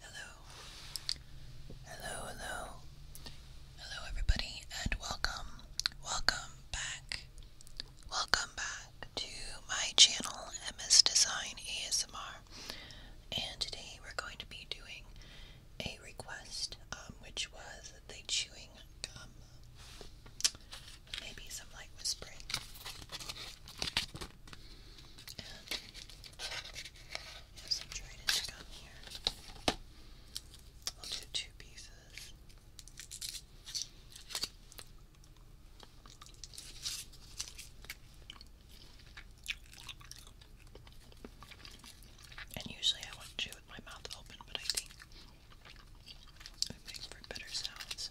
Hello. Hello, hello. Hello, everybody, and welcome, welcome back, welcome back to my channel, MS Design ASMR. And today we're going to be doing a request, um, which was the chewing gum, maybe some light whispering. And have some Trident gum here. We'll do two pieces. And usually I would chew with my mouth open, but I think it makes for better sounds.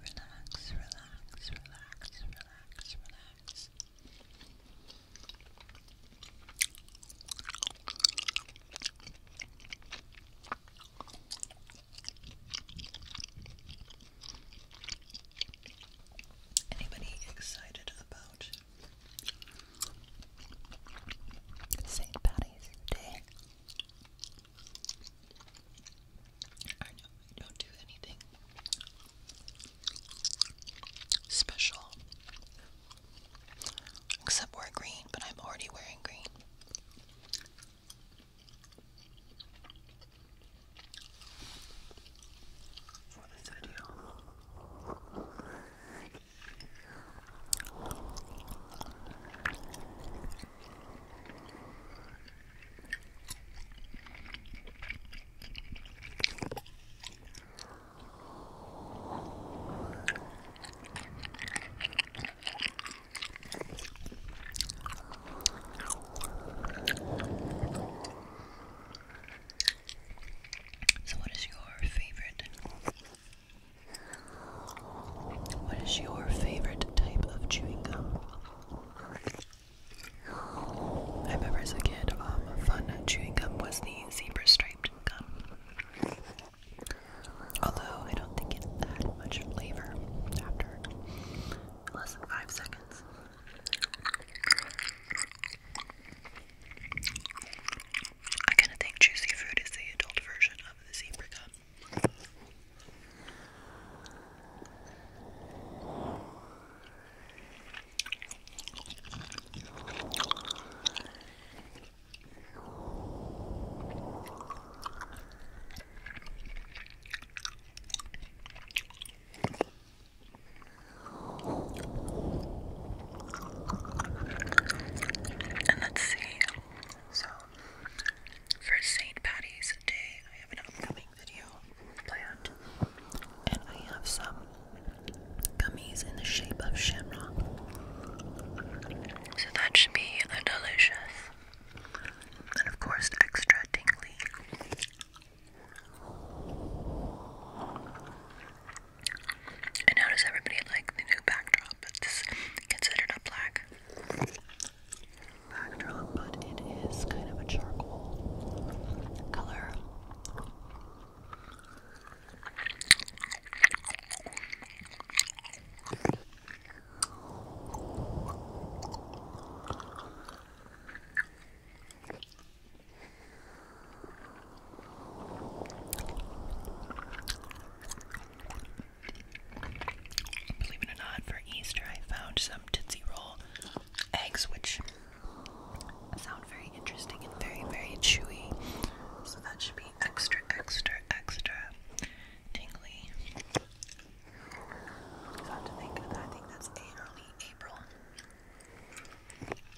Relax, relax, relax, relax, relax. Anybody excited about St. Patty's Day? I don't, do anything special except wear green, but I'm already wearing green. For this so, what is your favorite what is your favorite type of chewing gum? I remember as a kid, my um, fun chewing gum was the zebra striped gum. Although I don't think it had much flavor after less than five seconds. I kind of think juicy fruit is the adult version of the zebra gum. And let's see so, for St. Patty's Day, I have an upcoming video planned, and I have some gummies in the shape of shamrock. So, that should be delicious. And of course, extra tingly. And how does everybody like the new backdrop? It's considered a black backdrop, but it is kind of a charcoal color. Believe it or not, for Easter I found some Tootsie Roll eggs, which sound very interesting and very, very chewy. So that should be extra, extra, extra tingly. I have to think, I think that's early April.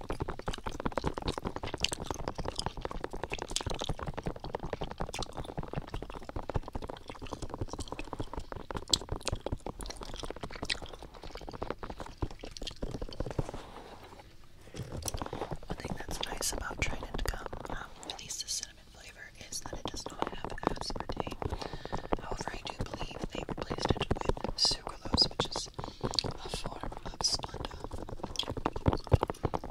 I think that's nice about Trident gum, um, at least the cinnamon flavor, is that it does not have aspartame. However, I do believe they replaced it with sucralose, which is a form of splendor. They're both evil.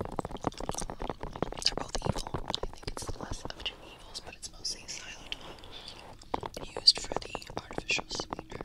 I think it's less of two evils, but it's mostly xylitol used for the artificial sweetener.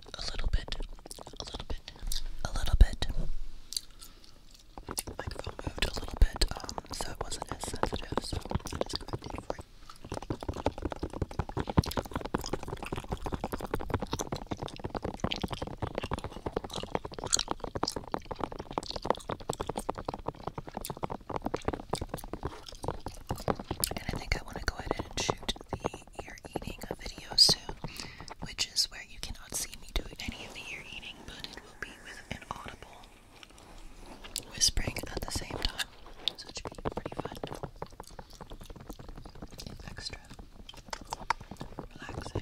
a little bit, a little bit, a little bit. The moved a little bit, um, so it wasn't as sensitive, And I think I want to go ahead and shoot the ear eating a video soon, which is where you cannot see me do any of the ear eating, but it will be with an audible whispering at the same time. So it be pretty fun. extra relaxing.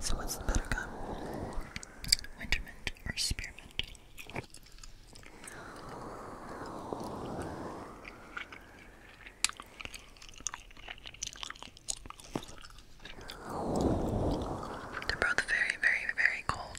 So what's the better gum? Wintermint or spearmint? They're both very, very, very cold.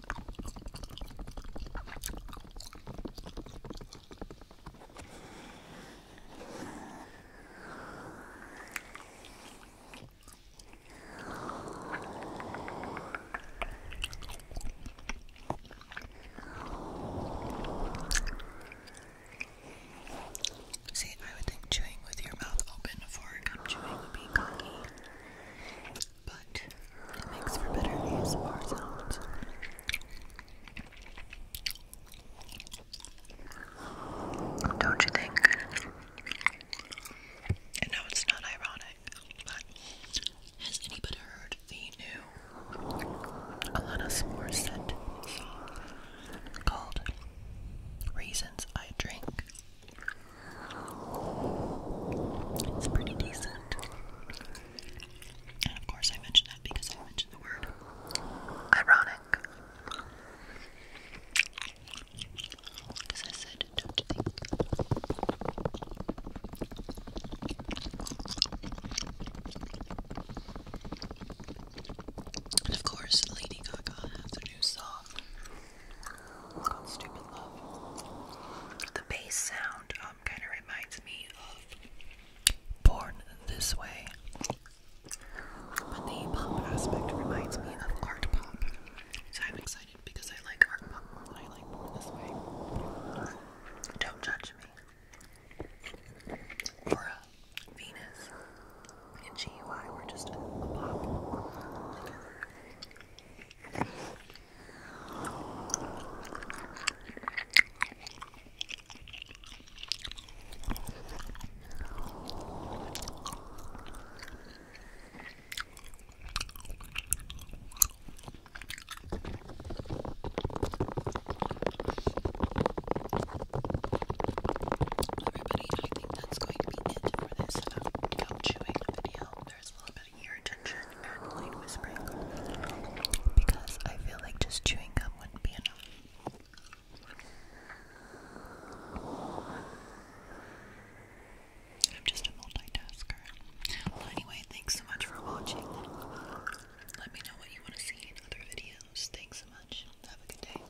See, I would think chewing with your mouth open for gum chewing would be cocky but makes for better ASMR sounds. Don't you think? no, it's not ironic, but has anybody heard the new Alana Morissette song called Reasons I Drink? It's pretty decent. And of course, I mentioned that because I mentioned the word ironic. Because I said, don't you think? And of course, Lady Gaga has a new song. Stupid Love. The bass sound um, kind of reminds me of Born This Way. But the pop aspect reminds me of art pop. So I'm excited because I like art pop more I like This Way. Don't judge me. Aura, Venus, and GUI were just pop Everybody, I that's going to be it for this gum chewing video. There's a little bit of ear tension and whispering because I feel like just chewing gum wouldn't be enough. I'm just a multitasker. anyway, thanks so much for watching. Let me know what you want to see in other videos. Thanks so much. Have a good day.